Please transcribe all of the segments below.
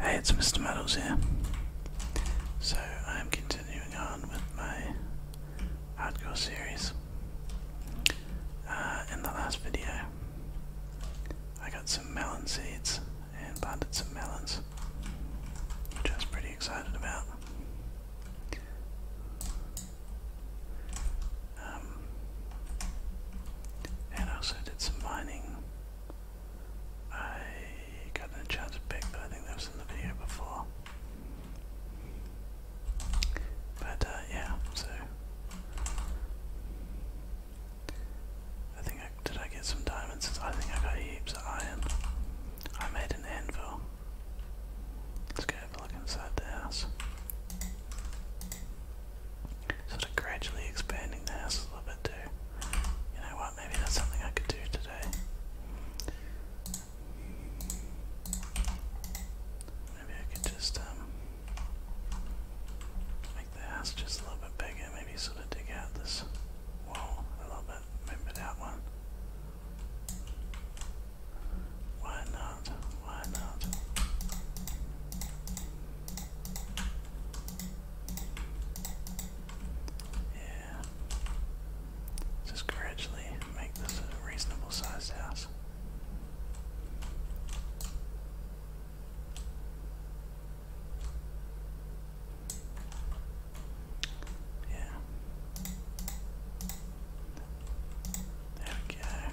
Hey, it's Mr. Meadows here. So I'm continuing on with my hardcore series. Uh, in the last video, I got some melon seeds and planted some melons, which I was pretty excited about. Um, and I also did some mining I got a chance to pick, but I think that was in the video before. But uh, yeah, so I think did. I get some diamonds. I think I got heaps of iron. I made an anvil. Let's go have a look inside the house sort of gradually expanding the house a little bit too. You know what, maybe that's something I could do today. Maybe I could just um make the house just a little bit bigger, maybe sort of dig out this wall a little bit, move it one. Why not? Why not? Yeah. Just gradually make this a reasonable sized house. Yeah. There we go.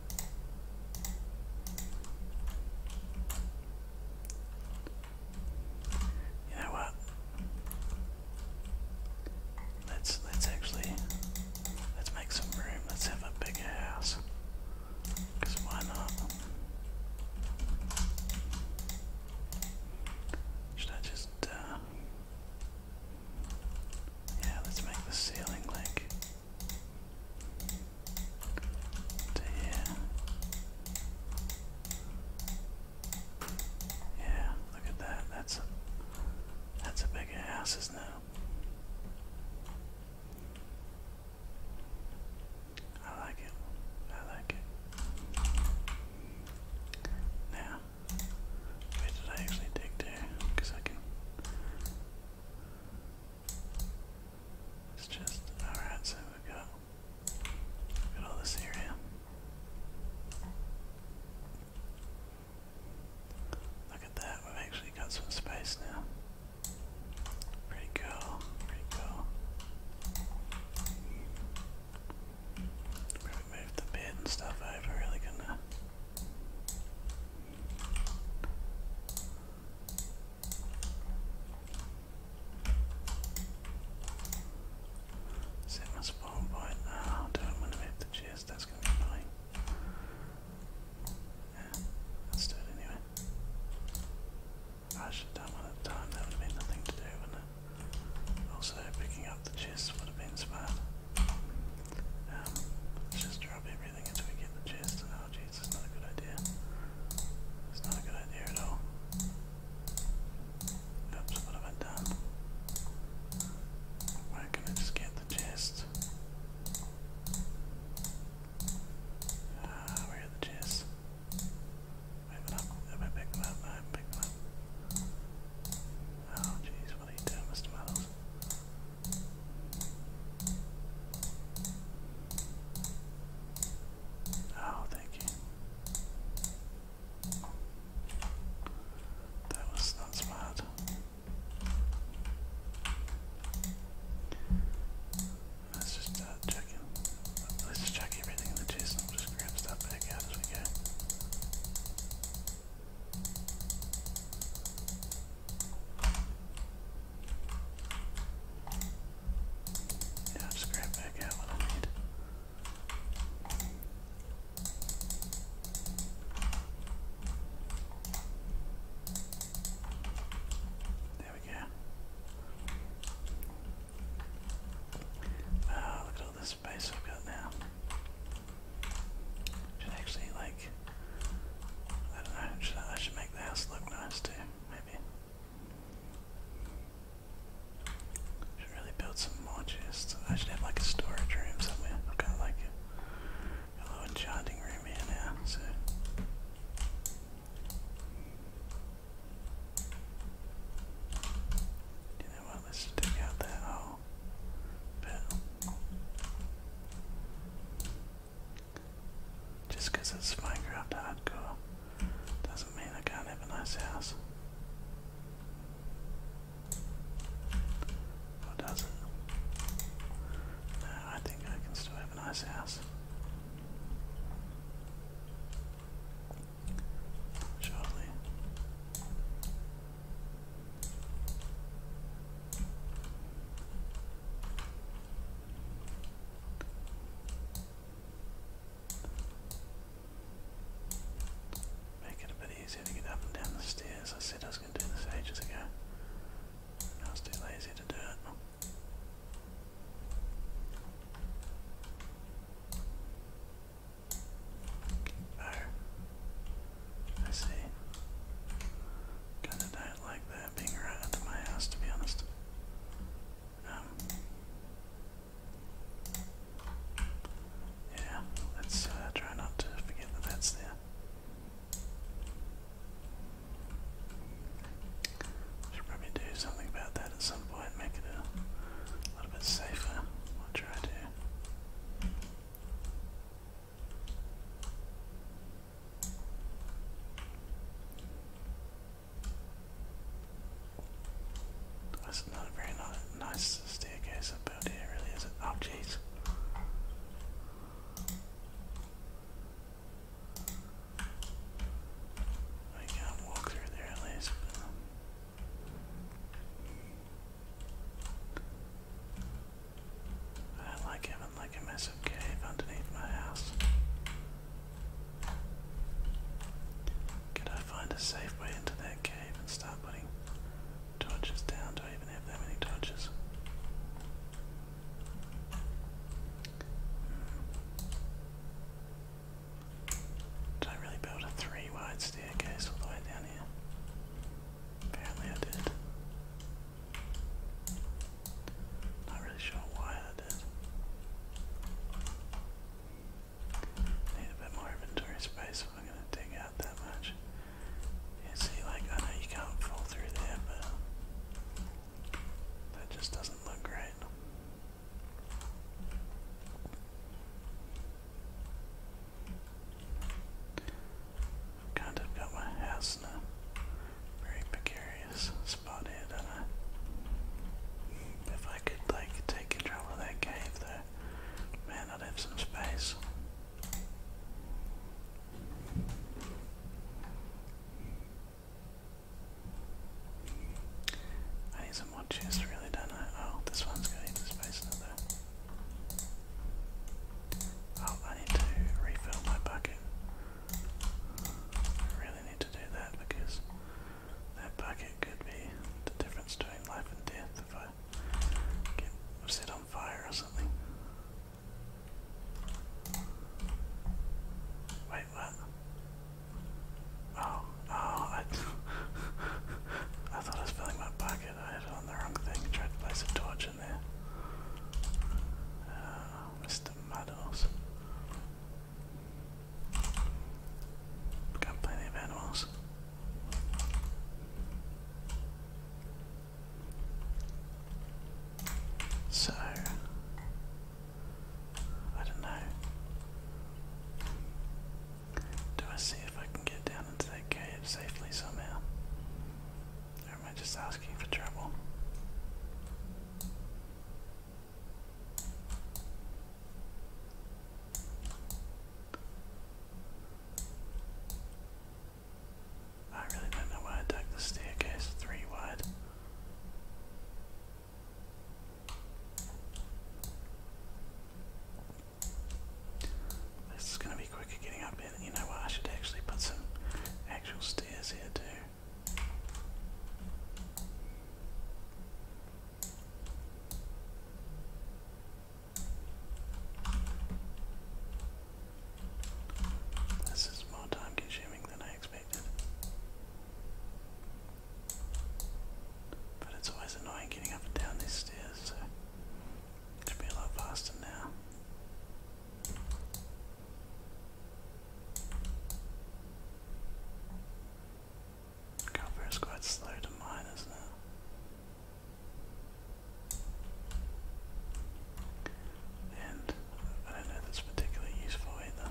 You know what? Let's let's actually let's make some room. Let's have a bigger house. Cause why not? Should I just uh, yeah, let's make the ceiling like to Yeah, look at that. That's a that's a bigger house, isn't I like it. I like it. Now, did I actually dig to? Because I can. It's just alright, so we've got we've all this area. Look at that, we've actually got some space now. Pretty cool, pretty cool. move the bed and stuff over, really gonna Set my spawn point. Oh, do I want to move the chest? That's going to be annoying. let's do it anyway. I should have done one at a time, There would have been nothing to do, Also, picking up the chests would have been smart. Um, just drop everything everything until we get the chest. Oh jeez, that's not a good idea. It's not a good idea at all. Oops, what have I done? Why can I just get the chest? Ah, where are the chests? Pick them up. Have I picked them up? I haven't Oh jeez, what are you doing, Mr. Muddles? Oh, thank you. That was not smart. Let's just start uh, Let's just check everything in the chest and will just grab stuff back out as we go. Yeah, I'll scrap back out what I need. There we go. Oh, look at all this space I've got now. Should actually like I don't know, should I, should make the house look nice too, maybe. Should really build some more I should have like a storage room somewhere. I've got like a, a enchanting room here now, so. You know what? Let's just out that hole. Just because it's Minecraft hardcore doesn't mean I can't have a nice house. Or does it? I think I can still have a nice house. Surely. Make it a bit easier to get up and down the stairs. I said I was going to do this ages ago. I was too lazy to do it. Oh. I see. Kinda diet like that, being right up my house to be honest. Um, yeah, let's uh, try not to forget that that's there. Should probably do something about that at some point, make it a little bit safer. I'll try to. That's not a very nice staircase up have really, is it? Oh, jeez. I can't walk through there at least. Um, I like having like a massive cave underneath my house. Could I find a safe way into that cave and start putting torches down? Do I even have that many torches? Hmm. I really build a three wide staircase all the way down here? Apparently I did. Not really sure why I did. Need a bit more inventory space if I'm gonna dig out that much. You see, like, I know you can't fall through there, but that just doesn't look great i kind of got my house very precarious spot here, If I could, like, take control of that cave, though, man, I'd have some space. need some more chests, really, don't I? Oh, this one's got space in though. Oh, I need to refill my bucket. I really need to do that because that bucket could be the difference between life and death if I get set on fire or something. Wait, what? Oh, oh, I, I thought I was filling my bucket. I had it on the wrong thing. tried to place a torch Mr. Meadows, Got plenty of animals. So, I don't know. Do I see if I can get down into that cave safely somehow? Or am I just asking for trouble? I really don't know why I dug the staircase three wide. This is going I should actually put some actual stairs here too. This is more time consuming than I expected. But it's always annoying getting up and down these stairs, it's Should be a lot faster now. Copper is quite slow to mine, is And I don't know if particularly useful either.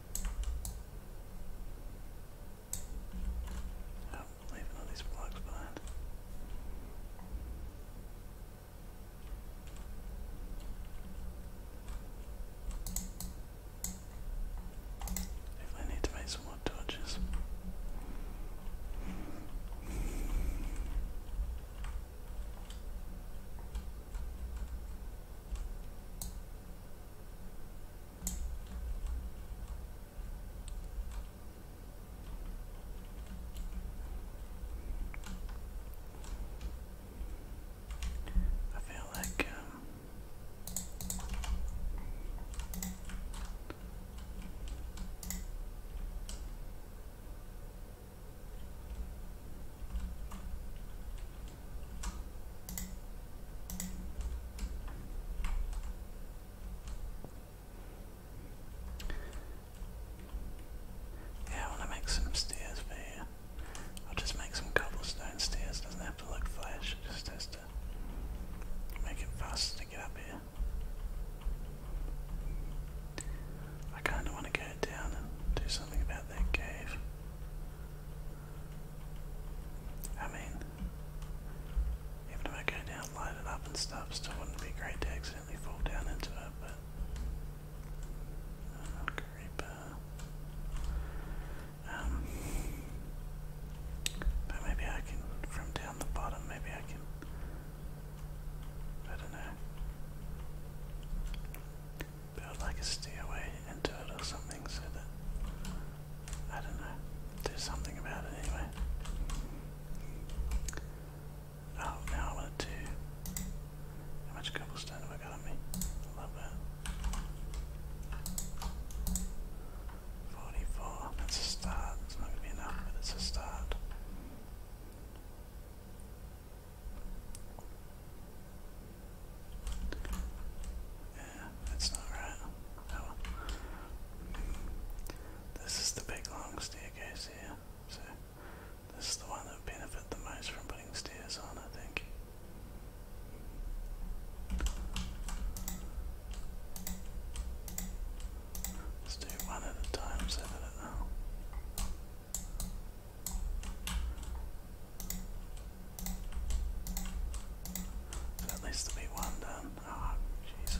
I Oh, leaving all these blocks behind. Definitely need to make some more torches. I feel like um, yeah, I want to make some stairs for you. I'll just make some cobblestone stairs, doesn't have to look flashy. it just has to make it faster to get up here. I kinda wanna go down and do something about that cave. I mean, even if I go down, light it up and stuff, still wouldn't be great to accidentally fall down into it, but. Uh, um, but maybe I can, from down the bottom, maybe I can. I don't know build like a stairway into it or something so that I don't know, do something about it anyway. Oh, now I want to do how much cobblestone have I got on me? I love that. 44, that's a start. It's not going to be enough, but it's a start. Yeah, that's not right. Oh This is the big long staircase here, so this is the one that would benefit the most from putting stairs on, I think. Let's do one at a time so that it. Uh, that needs to be one done. Ah, jeez.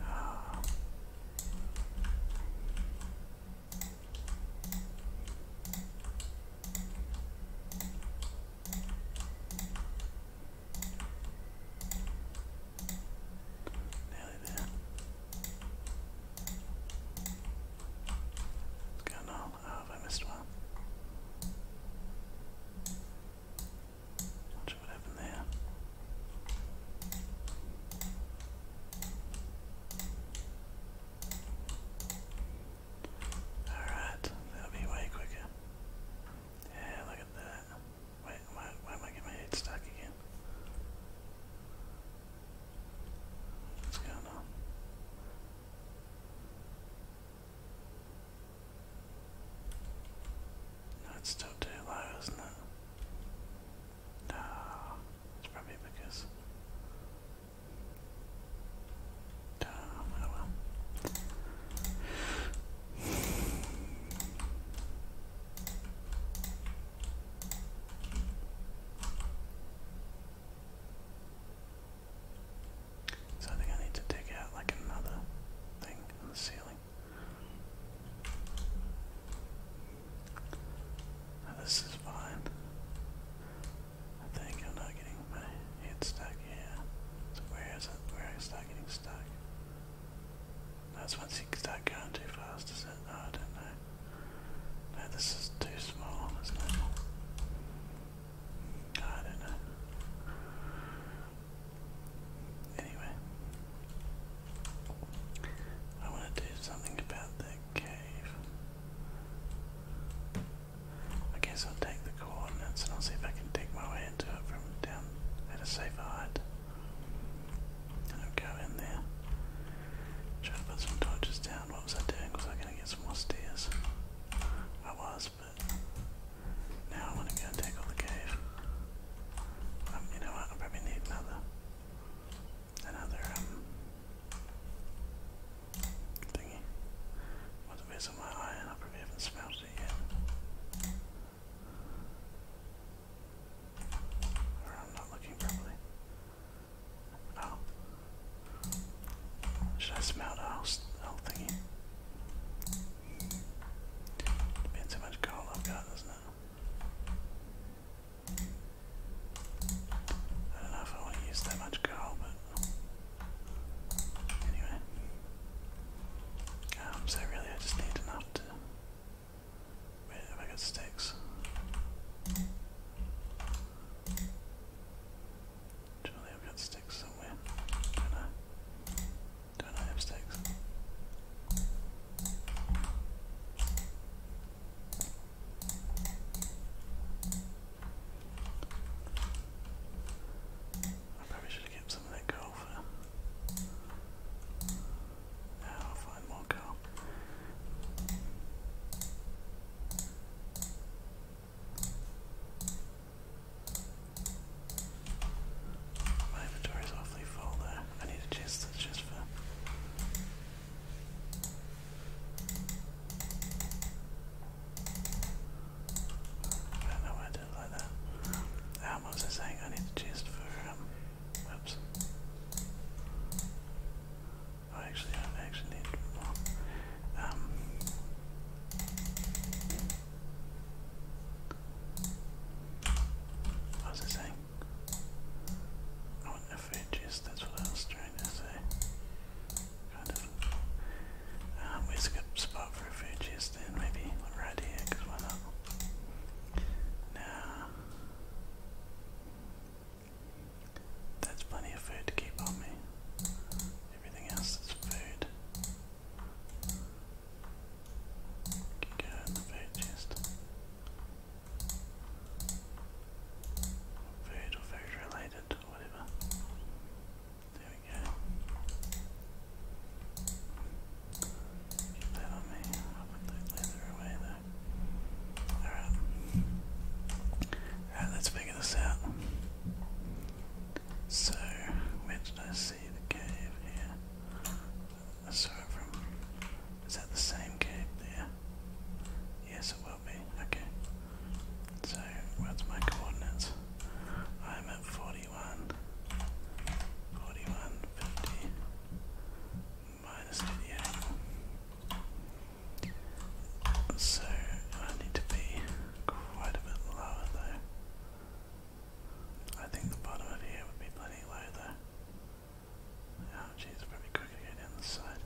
Oh. Nearly there. What's going on? Oh, have I missed one? Oh, Not what happened there. Alright, that'll be way quicker. Yeah, look at that. Wait, why, am I getting my head stuck again? What's going on? No, it's still too low, isn't it? No, it's probably because so I think I need to dig out like another thing on the ceiling. this is fine. I think I'm not getting my head stuck here. So where is it? Where I start getting stuck? That's once you start going too fast, is it? Oh, I don't know. No, this is too small, I don't know. Anyway. I want to do something about that cave. I guess I'll take the coordinates and I'll see if I can dig my way into it from down at a safer height. And I'll go in there. Try to put some torches down. What was I doing? Was I going to get some more stairs? I was, but now I want to go and tackle the cave. Um, you know what? I probably need another, another um, thingy. What the base of my eye, I probably haven't smelted it yet. I'm not looking properly. Oh. Should I smell the whole, thingy? Depends how much gold I've got, doesn't it? I don't know if I want to use that much gold, but Anyway. Um, so really I just need enough to... Wait, have I got sticks? Surely I've got sticks somewhere. do I? do I have sticks? I probably should have kept some of that coal Now I'll find more coal. My inventory is awfully full there. I need a chest that's just for I don't know why I did it like that. Um, what was I saying? I need to chest for, um, whoops. Oh, actually, I actually need Um, what was I saying? I want a food chest, that's what I was trying to say. Kind um, it's a good spot for refugees there. maybe right here, because why not? Now, that's plenty of food to keep on me. Everything else is food. go in the food chest. Food or food related. There we go. Get that on me. i put that leather away though. Alright. Alright, let's figure this out. So, where did I see the cave here? I saw it from. Is that the same cave there? Yes, it will be. Okay. So, what's my coordinates? I'm at 41, 41, 50, minus 88. So, I need to be quite a bit lower though. I think the bottom of here would be plenty low though. Oh jeez, I probably could go down the side.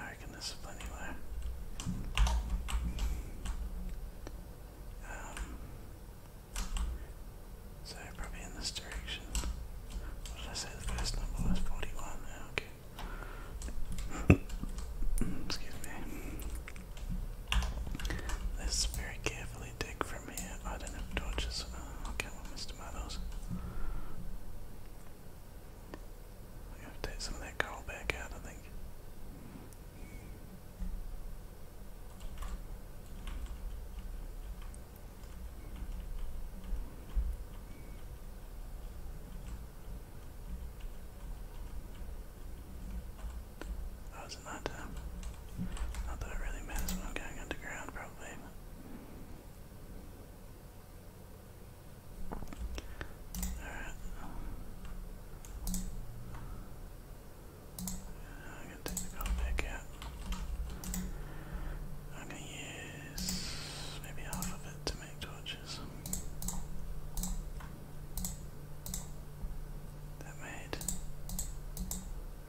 I can discipline you there. so probably in this direction. What did I say the first number was? 41. Okay. Excuse me. Let's very carefully dig from here. I don't have torches. Oh, okay, well, Mr. Muddles. I have to take some of that coal back out, I think. Oh, is it night time? Not that it really matters when I'm going underground, probably. Alright. I'm gonna take the gold back out. I'm gonna use maybe half of it to make torches. That made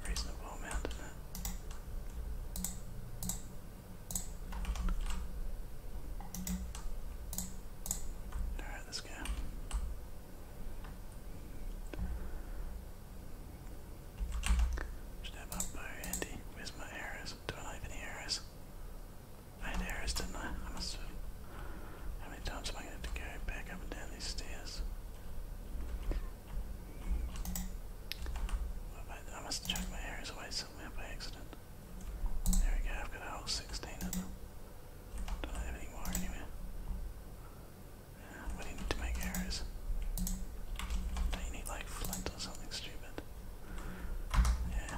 reasonable amount, didn't it? Alright, let's go. Should my bow handy. Where's my arrows? Do I have any arrows? I had arrows, didn't I? I must have. How many times am I going to have to go back up and down these stairs? I, must have chucked my arrows away somewhere by accident. There we go, I've got a whole 16 of them. Don't have any more anywhere. What need to make arrows? do you need like flint or something stupid? Yeah,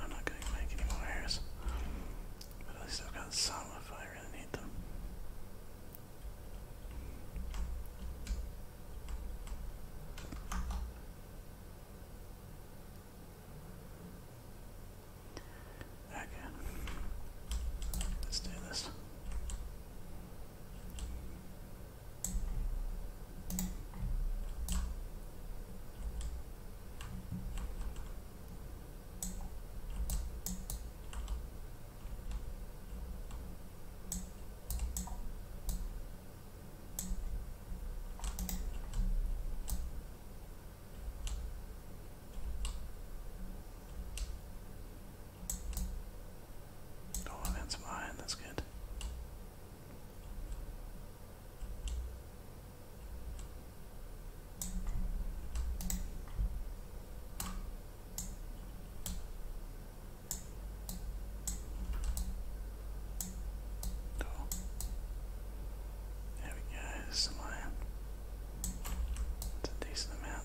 I'm not going to make any more arrows. But at least I've got some if I really need them. Okay. Let's do this. Oh, that's mine. That's good. There we go, there's some It's a decent amount.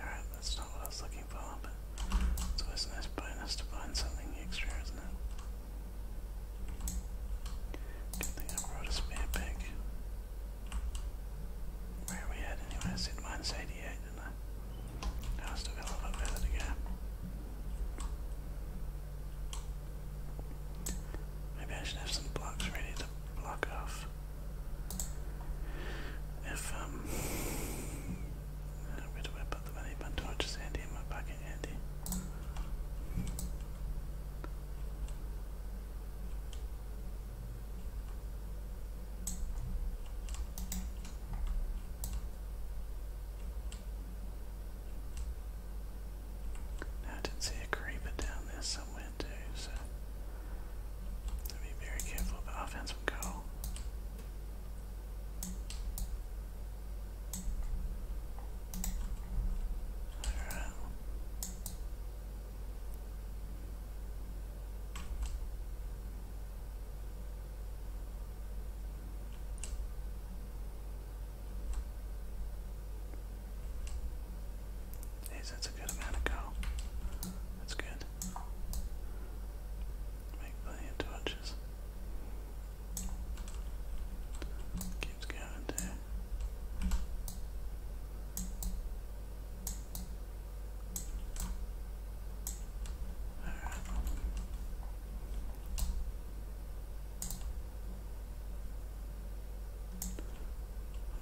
Alright, that's not what I was looking for, but it's always nice bonus to find something extra, isn't it? Good thing I brought a spare pick. Where are we at anyway? I said minus 88, didn't I? No, I still got a little further to go. Maybe I should have some blocks ready to block off. If, um, uh, where do I put the money? My torch is handy in my pocket, handy. I did see a creeper down there somewhere too, so I'll be very careful, but I found some coal. Alright. Jeez, that's a good amount of coal. That's good. Make plenty of torches. Keeps going down.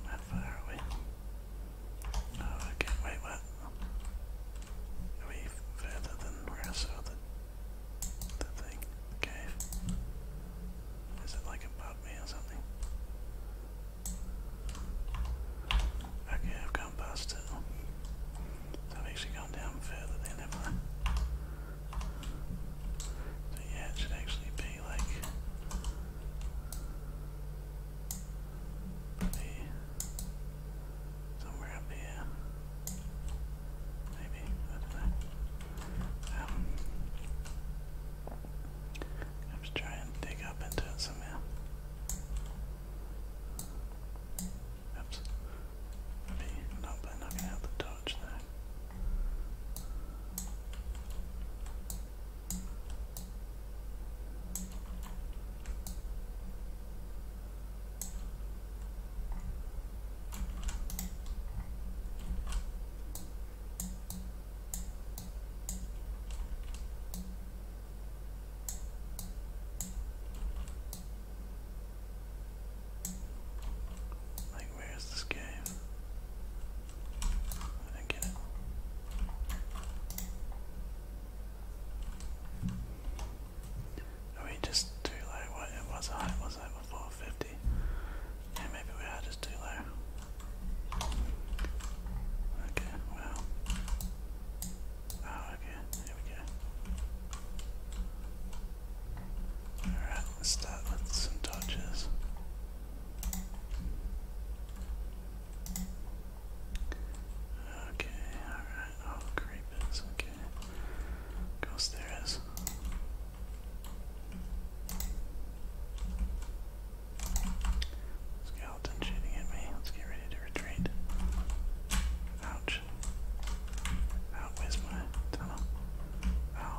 How far are we? Oh, okay, wait, what? Are we further than where the, the thing, the is it like above me or something? Okay, I've gone past it. I've actually gone down further than have So yeah, it should actually be like somewhere up here. Maybe, I do I have to try and dig up into it somehow. Oops. not by knocking out the torch there. Like, where is this game? I didn't get it. Oh, we just do like what it was. I was like before 50. 50. maybe we are just too low. Okay, well. Oh, okay, here we go. Alright, let's start with some dodges. Okay, alright, oh, creepers, okay. Of course there is. Skeleton shooting at me. Let's get ready to retreat. Ouch. Ow, where's my tunnel? Ow,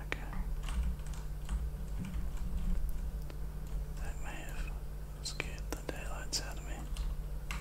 Okay. That may have scared the daylights out of me. Okay.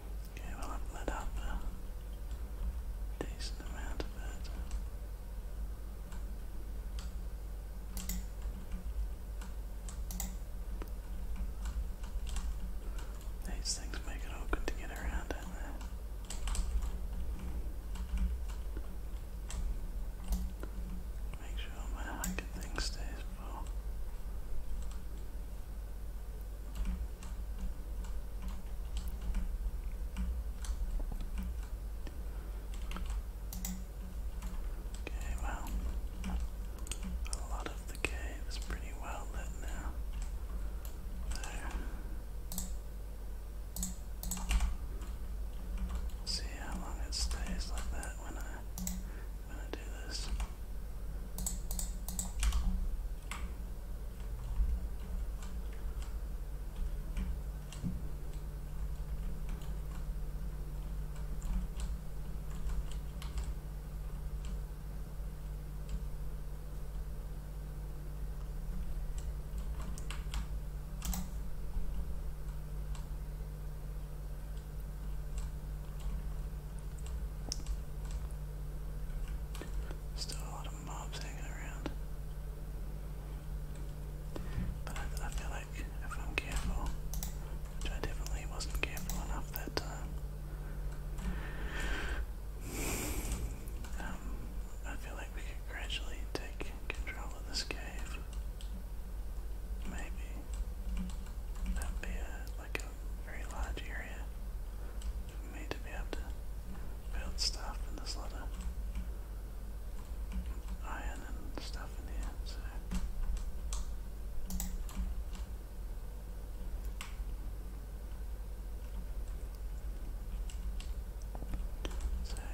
Okay, well I've lit up a decent amount of it. These things make it all good to get around, don't Make sure my hiking thing stays full. Okay, well, a lot of the cave is pretty well lit now. There. See how long it stays like that when I I'm gonna do this. Still a lot of mobs hanging around. But I, feel like if I'm careful, which I definitely wasn't careful enough that time, um, I feel like we could gradually take control of this cave. Maybe that'd be a, like a very large area for to be able to build stuff and there's a lot of iron and stuff in here, so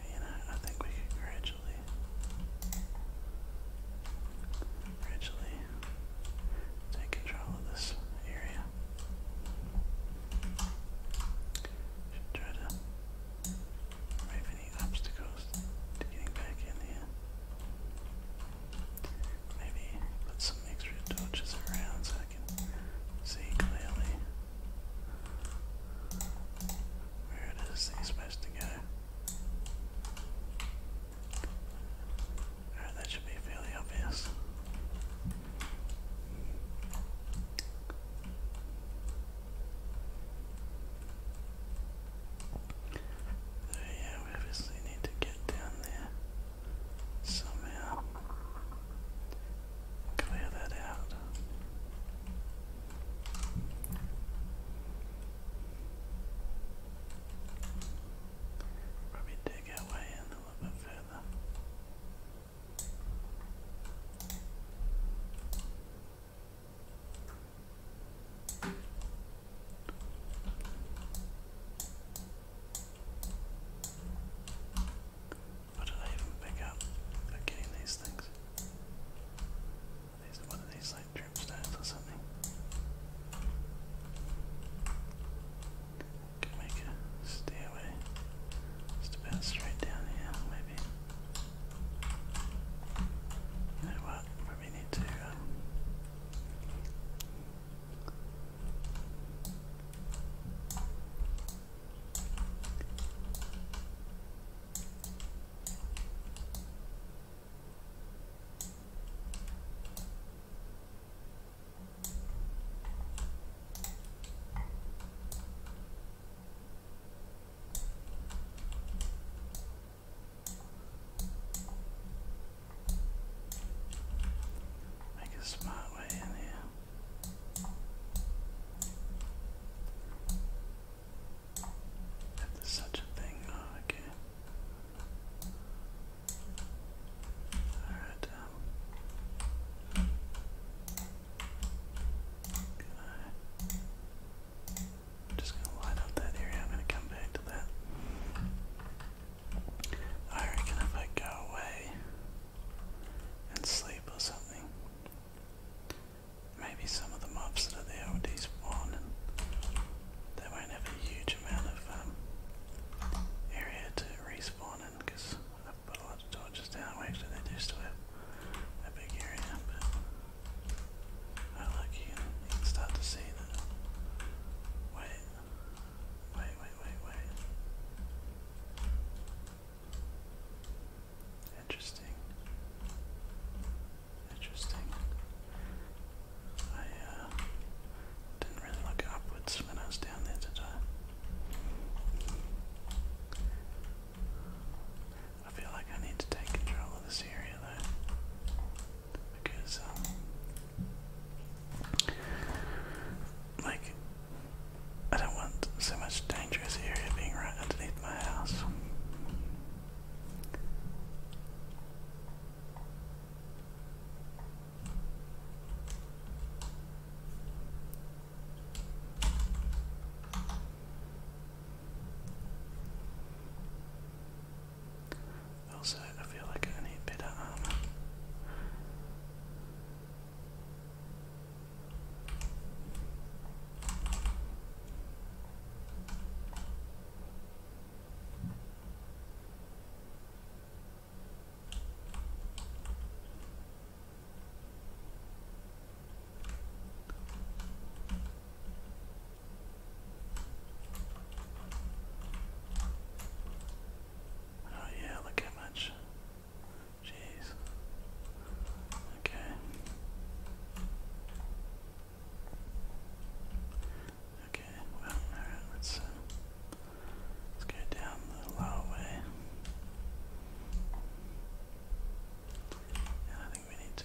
you know, I think we could gradually originally take control of this area. Should try to remove any obstacles to getting back in here. Maybe put some extra torches around so I can see clearly where it is that are supposed to go that should be fairly obvious. we obviously need to get down there somehow. Clear that out. Probably dig our way in a little bit further. What did I even pick up getting these things? these, what are these like bedroom stairs make a stairway just about straight down here, maybe. You know what? Probably need to. Um, Make a smart way in here. If there's such a thing, oh, okay. All right. Um, just gonna line up that area. I'm gonna come back to that. I reckon if I go away and sleep or something, maybe some of the mobs that are there will despawn they won't have a huge amount of um, area to respawn in because I've put a lot of torches down. Well, actually, they do still have a big area, but I like you, you can start to see that. Wait, wait, wait, wait, wait. Interesting. Interesting. I uh, didn't really look upwards when I was down there, did I? feel like I need to take control of this area though, because, um, like, I don't want so much dangerous area being right underneath my house. Also, I feel like I need better armor. Oh yeah, look how much. Jeez. Okay. Okay, well, let's, uh, let's go down the lower way. And I think we need to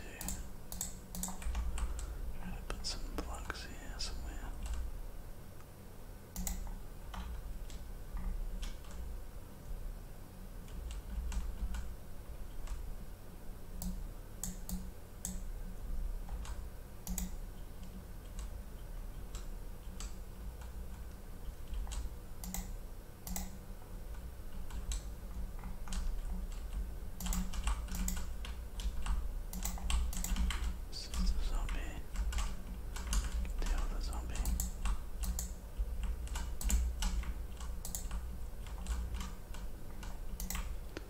try to put some blocks here somewhere. This is the zombie. Kill the zombie.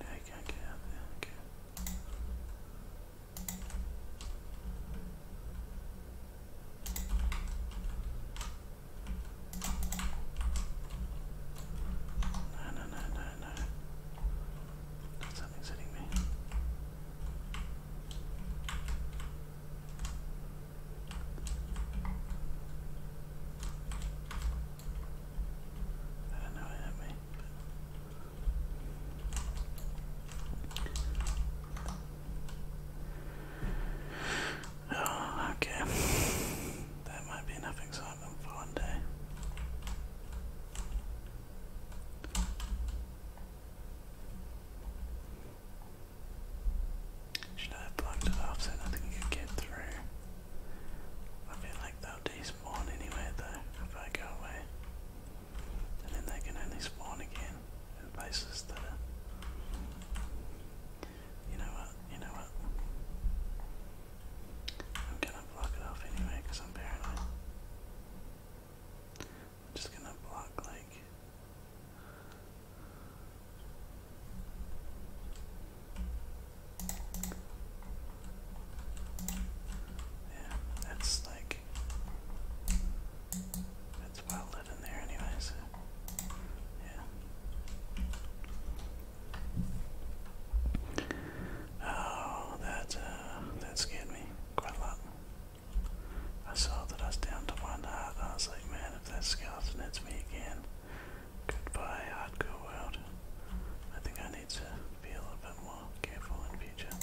No, you can't get out there. Okay. No, no, no, no, no. Something's hitting me. I know what me. Oh, okay. that might be enough excitement for one day. Should I have it off so nothing could get through? I feel like they'll despawn anyway though if I go away. And then they can only spawn again in places that you know what, you know what? I'm gonna block it off anyway because I'm paranoid. I'm just gonna block like yeah, that's like that's well lit in there anyway, yeah. Oh, that, uh, that scared me quite a lot. I saw that I was down to one heart, and I was like, man, if that skeleton hits me again, goodbye, hardcore world. I think I need to be a little bit more careful in future.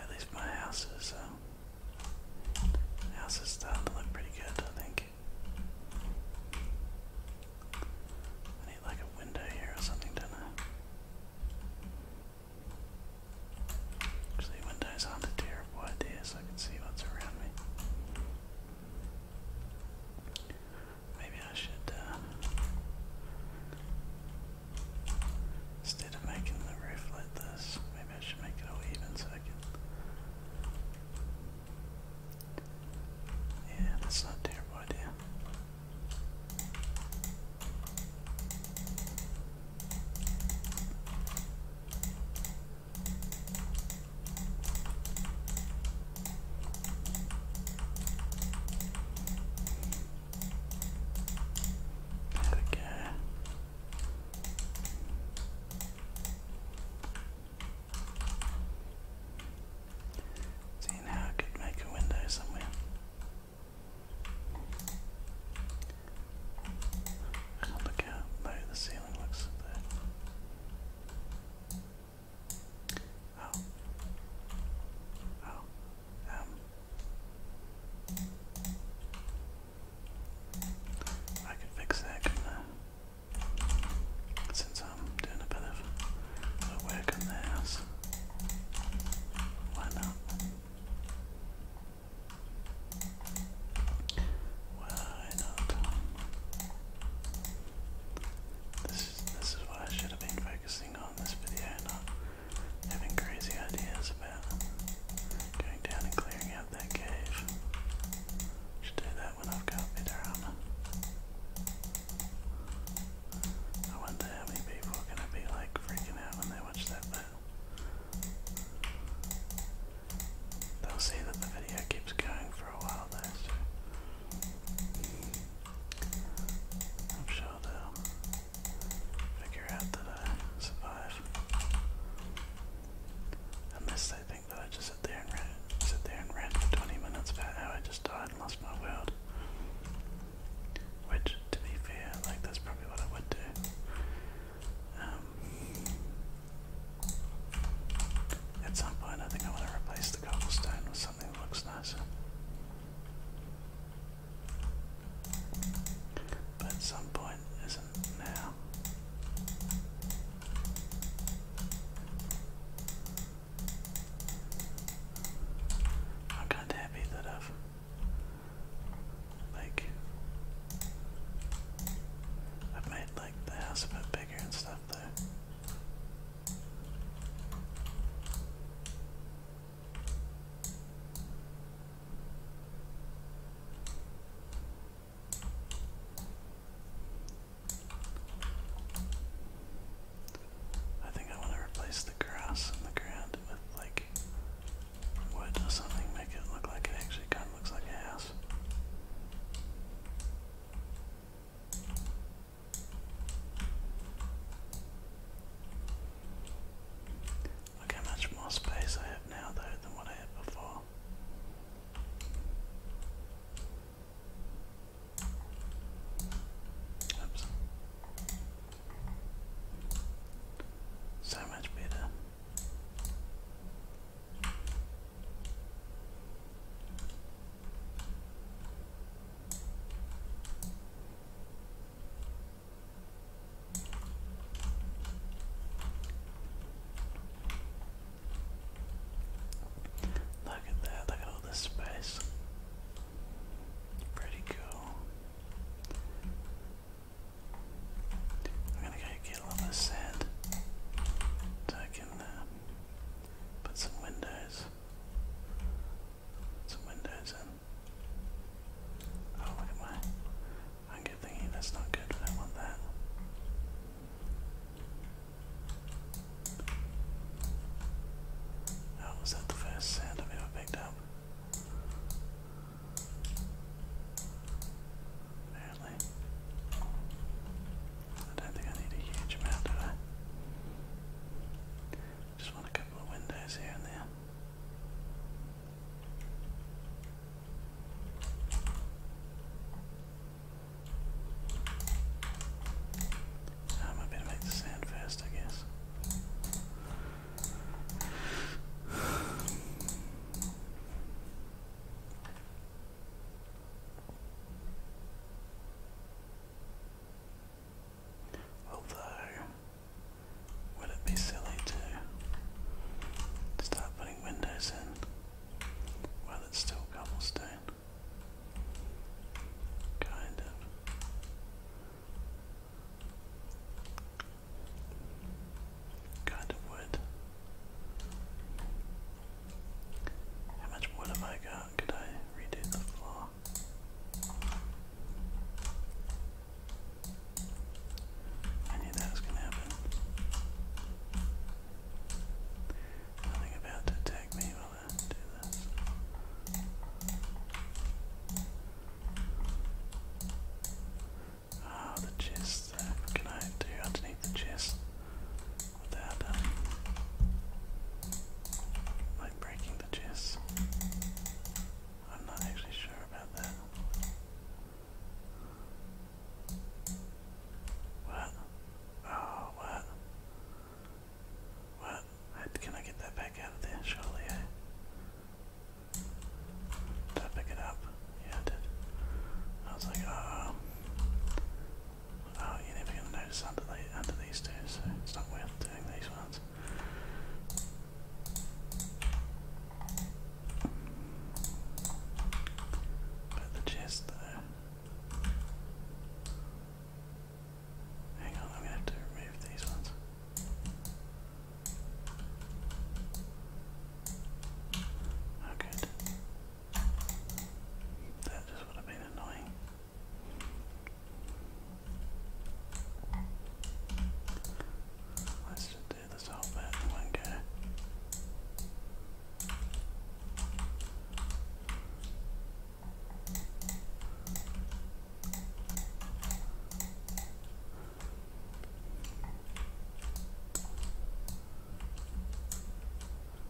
At least my house is, um, house is starting to look pretty good, I think. I need like a window here or something, do Actually, windows are a terrible idea, so I can see what's around me. Maybe I should, uh, instead of making the roof like this, maybe I should make it all even so I can yeah, that's not a terrible idea. There we go. Seeing how I could make a window somewhere. can look how low the ceiling looks there. Oh. Oh. Um. I could fix that, since I'm doing a bit of work on theirs, why not? Why not? This is this is what I should have been focusing on this video, not having crazy ideas about going down and clearing out that cave. Should do that when I've got better armor. I wonder how many people gonna be like freaking out when they watch that They'll see that the video keeps going for a while I'm sure they'll figure out that I survive. Unless they that I just sit there and ran, sit there and ran for 20 minutes about how I just died and lost my world. Which, to be fair, like that's probably what I would do. Um, at some point, I think I want to replace the cobblestone with something that looks nicer. But at some point, isn't now. I'm kind of happy that I've like I've made like the house a bit bigger and stuff though. I think I want to replace the grass in the ground with like wood or something, make it look like it actually kind of looks like a house. Look how much more space I have now though than what I had before. Oops. So much better. Look at that, look at all this space. Pretty cool. I'm gonna go get a little bit of sand so I can uh, put some windows. Some windows in. Oh, look at my hunger thingy. That's not good. I want that. That was that the first sound I've ever picked up? Apparently. I don't think I need a huge amount, do I? Just want a couple of windows here and there. Um, I better make the sand first, I guess. Although, would it be silly to start putting windows in while it's still cobblestone? Kind of. Kind of wood. How much wood have I got? Could I redo the floor? I knew that going to happen. Nothing about to attack me while I do this. Ah, the chest. Uh, can I do underneath the chest without um, like breaking the chest? I'm not actually sure about that. What? Oh, what? What? Can I get that back out of there? Surely, Did I pick it up? Yeah, I did. I was like, oh, oh you're never going to notice under, these two, so it's not worth doing these ones. But the chest, though. Hang on, I'm gonna have to remove these ones. Oh That just would have been annoying. Let's just do this whole bit in one go.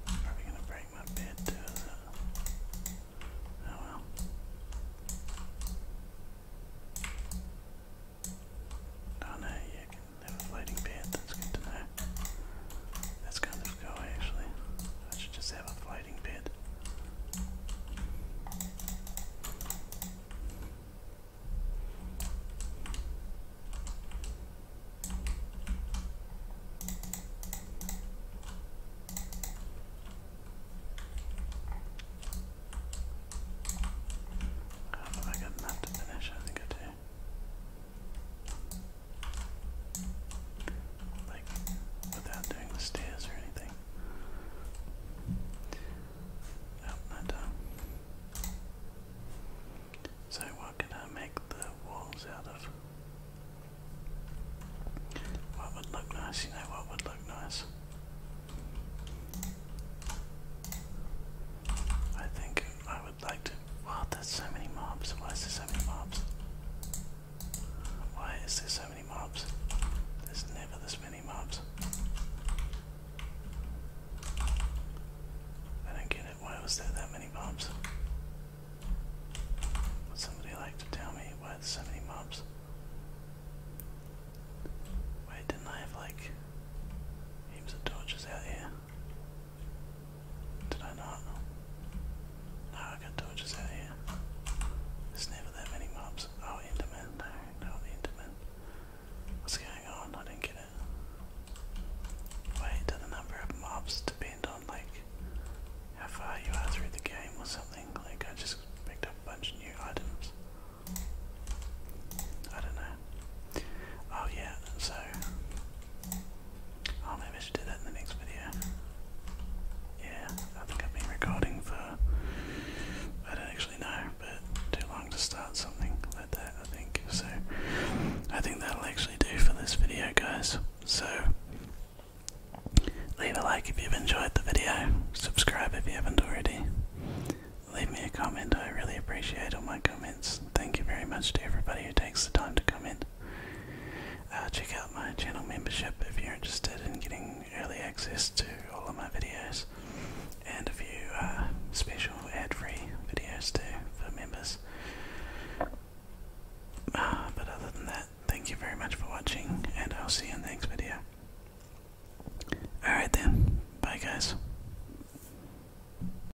Probably gonna break my bed too, Oh well. Oh no, you have a floating bed, that's good to know. That's kind of cool actually. I should just have a floating bed. I do I got enough to finish, I think I do. Like, without doing stairs or anything. Nope, not So, what could I make the walls out of? What would look nice? You know what would look nice? I think I would like Wow, that's so many mobs. Why is there so many mobs? Why is there so many mobs? There's never this many mobs. I don't get it. Why was there that many mobs? Would somebody like to tell me why there's so many mobs? Wait, didn't I have like heaps of torches out here? Did I not? No, I got torches out here. There's never that many mobs. Oh, Enderman. No, no, Enderman. What's going on? I didn't get it. Wait, do the number of mobs depend on, like, how far you are through the game or something? Like, I just picked up a bunch of new items. I don't know. Oh, yeah, so Oh, maybe I should do that in the next video. Yeah, I think I've been recording for, I don't actually know, but too long to start something like that, I think. So, I think that'll actually do for this video, guys. So, leave a like if you've enjoyed the video, subscribe if you haven't already, leave me a comment, I really appreciate all my comments. Thank you very much to everybody who takes the time to come in. Uh, check out my channel membership if you're interested in getting early access to all of my videos and a few uh, special ad-free videos too for members. Uh, but other than that, thank you very much for watching and I'll see you in the next video. Alright then, bye guys.